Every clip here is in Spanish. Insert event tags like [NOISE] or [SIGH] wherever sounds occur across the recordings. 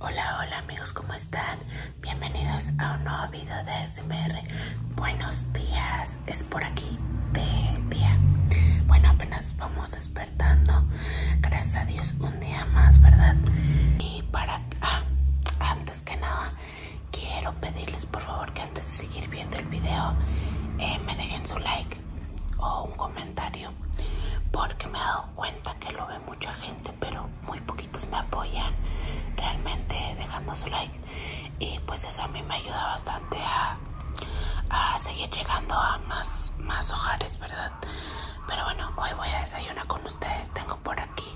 Hola, hola amigos, ¿cómo están? Bienvenidos a un nuevo video de SMR. Buenos días, es por aquí de día. Bueno, apenas vamos despertando. Gracias a Dios, un día más, ¿verdad? Y para... Ah, antes que nada, quiero pedirles por favor que antes de seguir viendo el video eh, me dejen su like o un comentario porque me he dado cuenta que lo ve mucha gente pero muy poquitos me apoyan realmente dejando su like y pues eso a mí me ayuda bastante a, seguir llegando a más, más hogares verdad pero bueno hoy voy a desayunar con ustedes tengo por aquí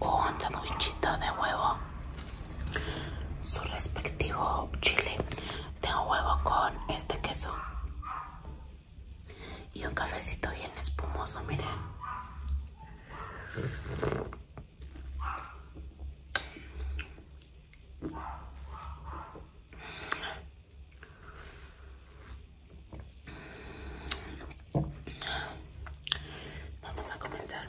un sandwichito de huevo su respectivo chile. Tengo huevo con este queso y un cafecito bien espumoso, miren. Vamos a comenzar.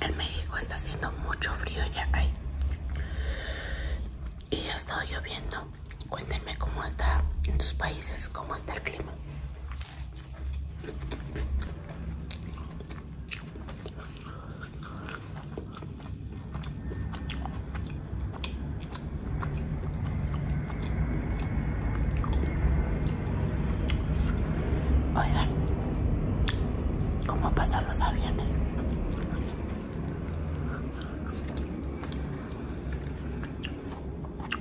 en México está haciendo mucho frío ya ahí y ha estado lloviendo. Cuéntenme cómo está en tus países, cómo está el clima. Oigan, cómo pasan los aviones.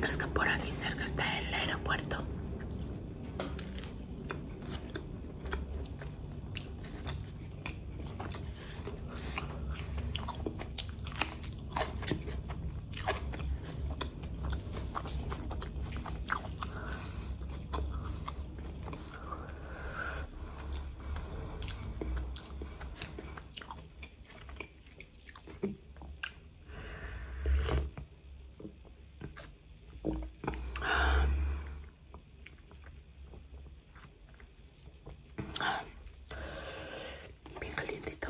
Es que por aquí cerca está el aeropuerto. Bien calientito.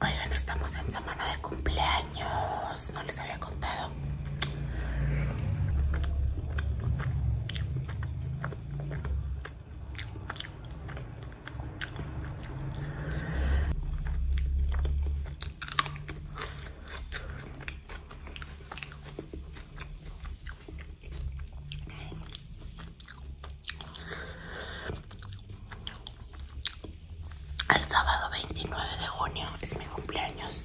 Oigan, estamos en semana de cumpleaños. No les había contado. El sábado 29 de junio es mi cumpleaños.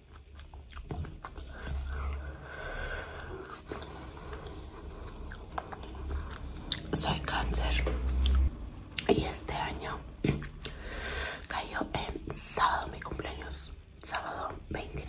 Soy cáncer y este año [CLEARS THROAT] cayó en sábado mi cumpleaños, sábado 29.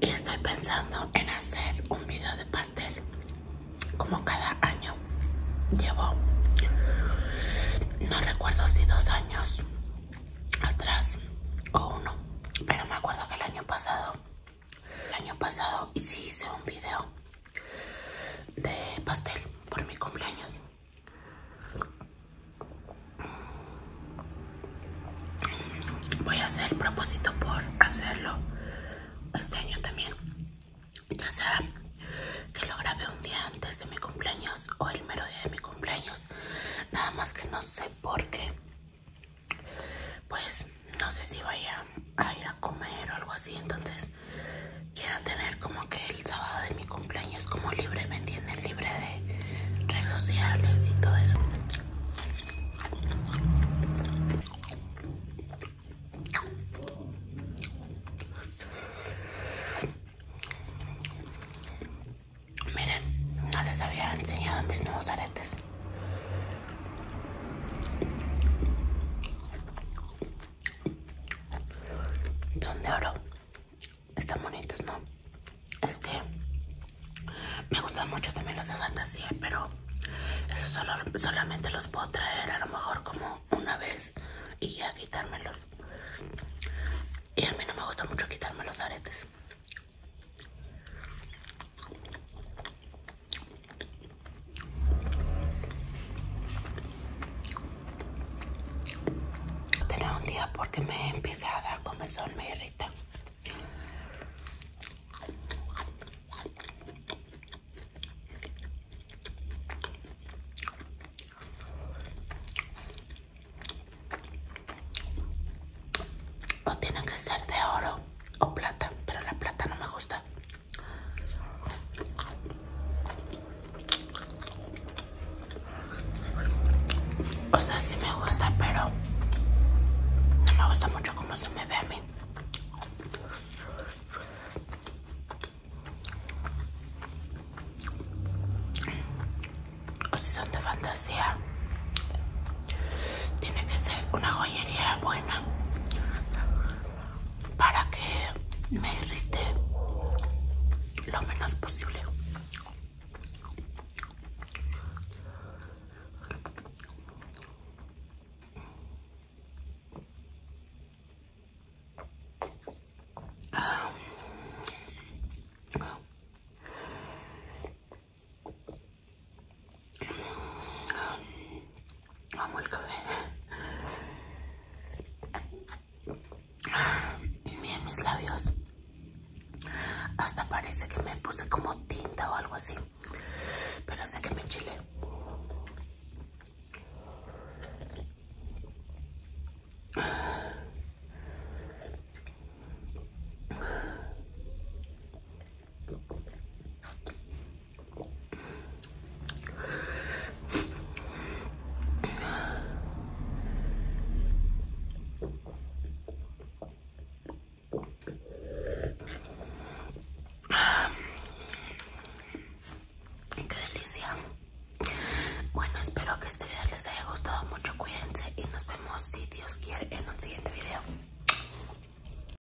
Y estoy pensando en hacer un video de pastel. Como cada año. Llevo, no recuerdo si dos años atrás o uno. Pero me acuerdo que el año pasado, el año pasado sí hice un video de pastel por mi cumpleaños. Voy a hacer propósito por hacerlo este año también. Ya sea que lo grabé un día antes de mi cumpleaños o el mero día de mi cumpleaños. Nada más que no sé por qué. Pues no sé si vaya a ir a comer o algo así. Entonces quiero tener como que el sábado de mi cumpleaños como libre, ¿me entienden? Libre de redes sociales y todo eso. Miren, no les había enseñado mis nuevos aretes son de oro están bonitos no Este me gustan mucho también los de fantasía pero eso solo, solamente los puedo traer a lo mejor como una vez y ya quitármelos y a mí no me gusta mucho quitarme los aretes Tener un día porque me empieza a dar sol, me irrita. O tienen que ser de oro o plata, pero la plata no me gusta. O sea, sí me gusta, pero no me gusta mucho como se me ve a mí. O si son de fantasía, tiene que ser una joyería buena para que me irrite lo menos posible. Amo el café. Miren mis labios. Hasta parece que me puse como tinta o algo así. Pero sé que me chile Qué delicia. Bueno, espero que este video les haya gustado mucho. Cuídense y nos vemos si Dios quiere en un siguiente video.